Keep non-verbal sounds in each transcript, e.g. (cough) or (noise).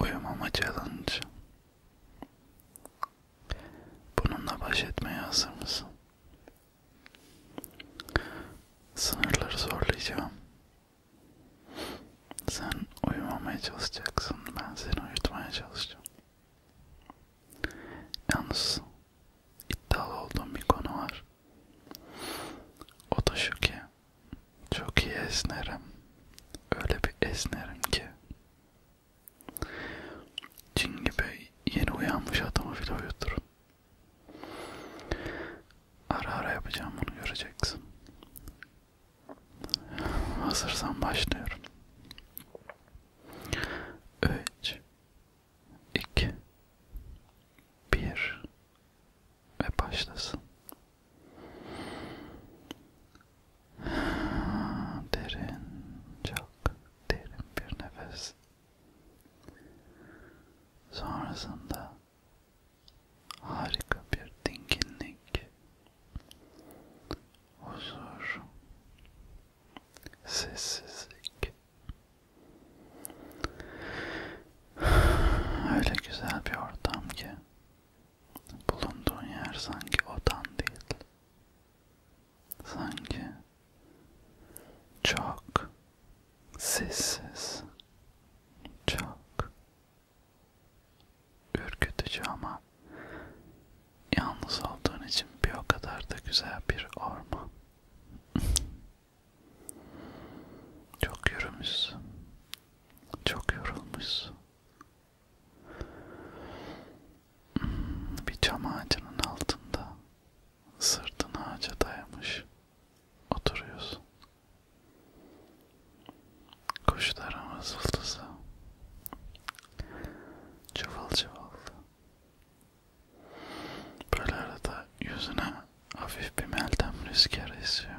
Uyumama challenge. Bununla baş etmeye hazır mısın? Sınırları zorlayacağım. Sen uyumamaya çalışacaksın, ben seni uyutmaya çalışacağım. Yalnız iddialı olduğum bir konu var. O da şu ki çok iyi esnerim. Öyle bir esnerim ki. Cin gibi yeni uyanmış adamı bile uyuturum. Ara ara yapacağım bunu göreceksin. Hazırsan başlıyorum. 3 2 1 ve başlasın. Derin, çok derin bir nefes. Sonrasında harika bir dinginlik, huzur, sessizlik Öyle güzel bir ortam ki bulunduğun yer sanki odan değil. Sanki çok sessiz, çok ürkütücü ama yalnız olduğun için bir o kadar da güzel bir orman. (laughs) Çok yürümüşsün. Çok yorulmuşsun. Bir cam ağacının altında sırtın ağaca dayamış oturuyorsun. Kuşların vızıltısı cıvıl cıvıl Böyle arada yüzüne hafif bir meltem rüzgarı esiyor.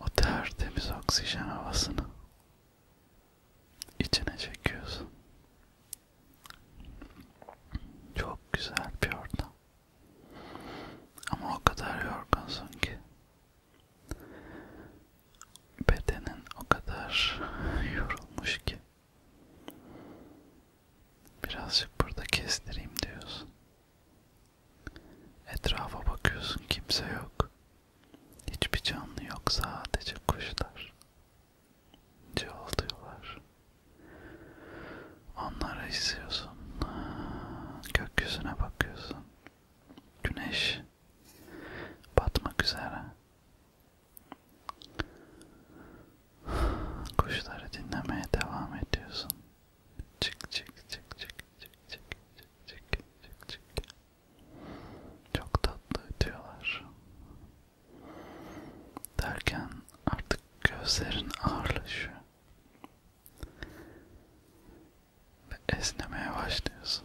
O tertemiz oksijen havasını içine çekiyorsun. Çok güzel bir ortam. Ama o kadar yorgunsun ki bedenin o kadar yorulmuş ki Birazcık burada kestireyim diyorsun. Etrafa bakıyorsun kimse yok. Hiçbir canlı yok sadece kuşlar. Cıvıldıyorlar. Onları izliyorsun. Gökyüzüne bakıyorsun. Güneş batmak üzere. Kuşları dinlemeye devam ediyorsun. Çık çık çık çık çık çık çık çık çık. Çok tatlı ötüyorlar. Derken artık gözlerin ağırlaşıyor. Ve esnemeye başlıyorsun.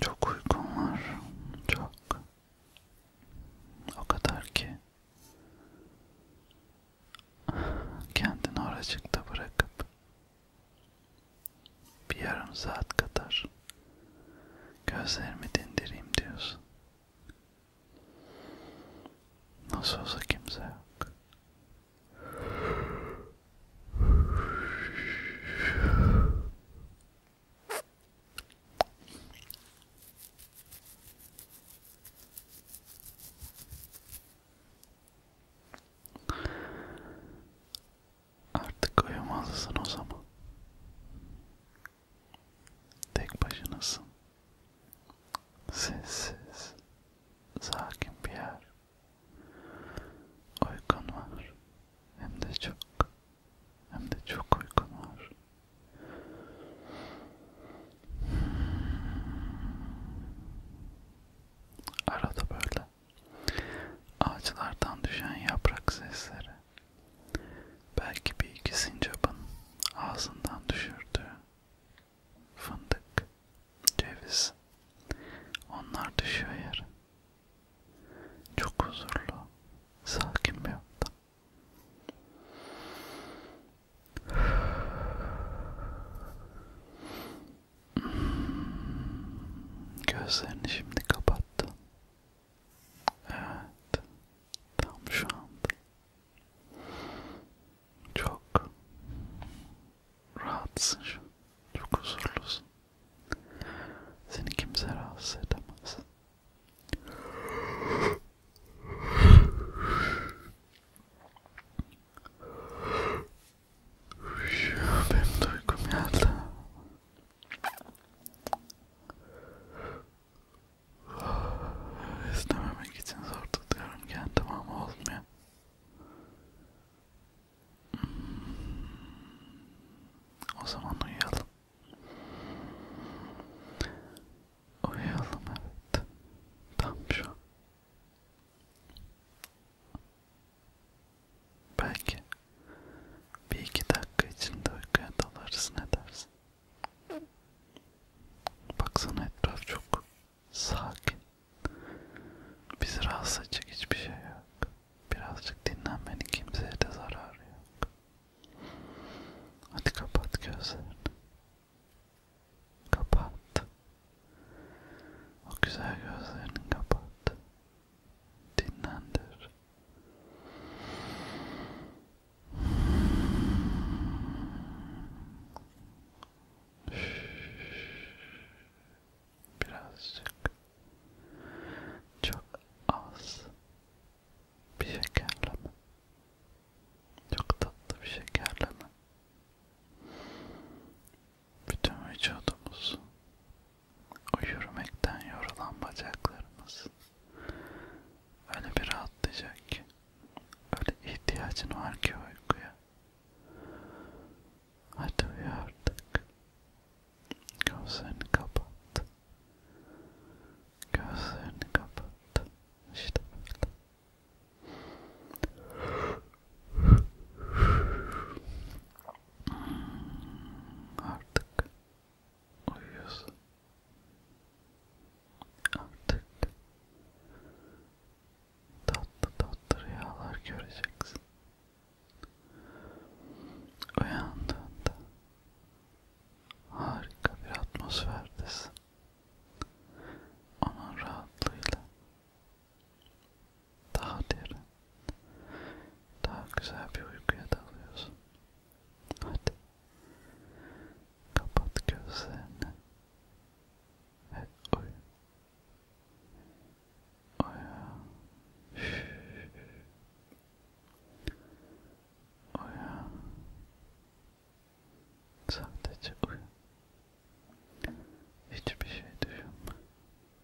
Çok uykum var. Çok. O kadar ki kendini oracıkta bırakıp bir yarım saat kadar gözlerimi dindireyim diyorsun. Nasıl olsa kimse yok. Artık uyumazsın o zaman. Tek başınasın. Sessiz, sakin bir yer. Uykun var. Hem de çok. Hem de çok uykun var. Arada böyle ağaçlardan düşen yaprak sesleri Belki bir iki sincapın ağzından düşürdü. Fındık, ceviz. Onlar düşüyor yere. Çok huzurlu, sakin bir ortam. Hmm, gözlerini şimdi kapattı. Evet. Tam şu anda. Çok rahatsın şu an. Çok huzurlusun. Seni kimse rahatsız edemez. Benim duygum geldi. İstememek için zor tutuyorum kendimi ama olmuyor. Hmm. O zaman uyuyalım. Uyuyalım evet. Tam şu. Belki bir iki dakika içinde uykuya dalarız ne dersin? Baksana etraf çok sakin. Bizi rahatsız edecek hiçbir şey yok. Birazcık dinlenmenin kimseye de zararı yok. Hadi kapat gözlerini. Kapat. O güzel gözlerini kapat. Dinlendir. Birazcık çok az bir şekerleme, çok tatlı bir şekerleme. Bütün vücudumuzu o yürümekten yorulan bacaklarımız öyle bir rahatlayacak ki, öyle ihtiyacın var ki uykuya. Hadi uyu artık. Gözlerini kapat. Gözlerini kapat. İşte böyle. Hmm, artık uyuyorsun. Artık tatlı tatlı rüyalar göreceksin. Uyandığında harika bir atmosferdesin. Onun rahatlığıyla daha derin, daha güzel bir uykuya dalıyorsun. Hadi. Kapat gözlerini. Ve uyu. Uyu. Uyu. Sadece uyu. Hiçbir şey düşünme.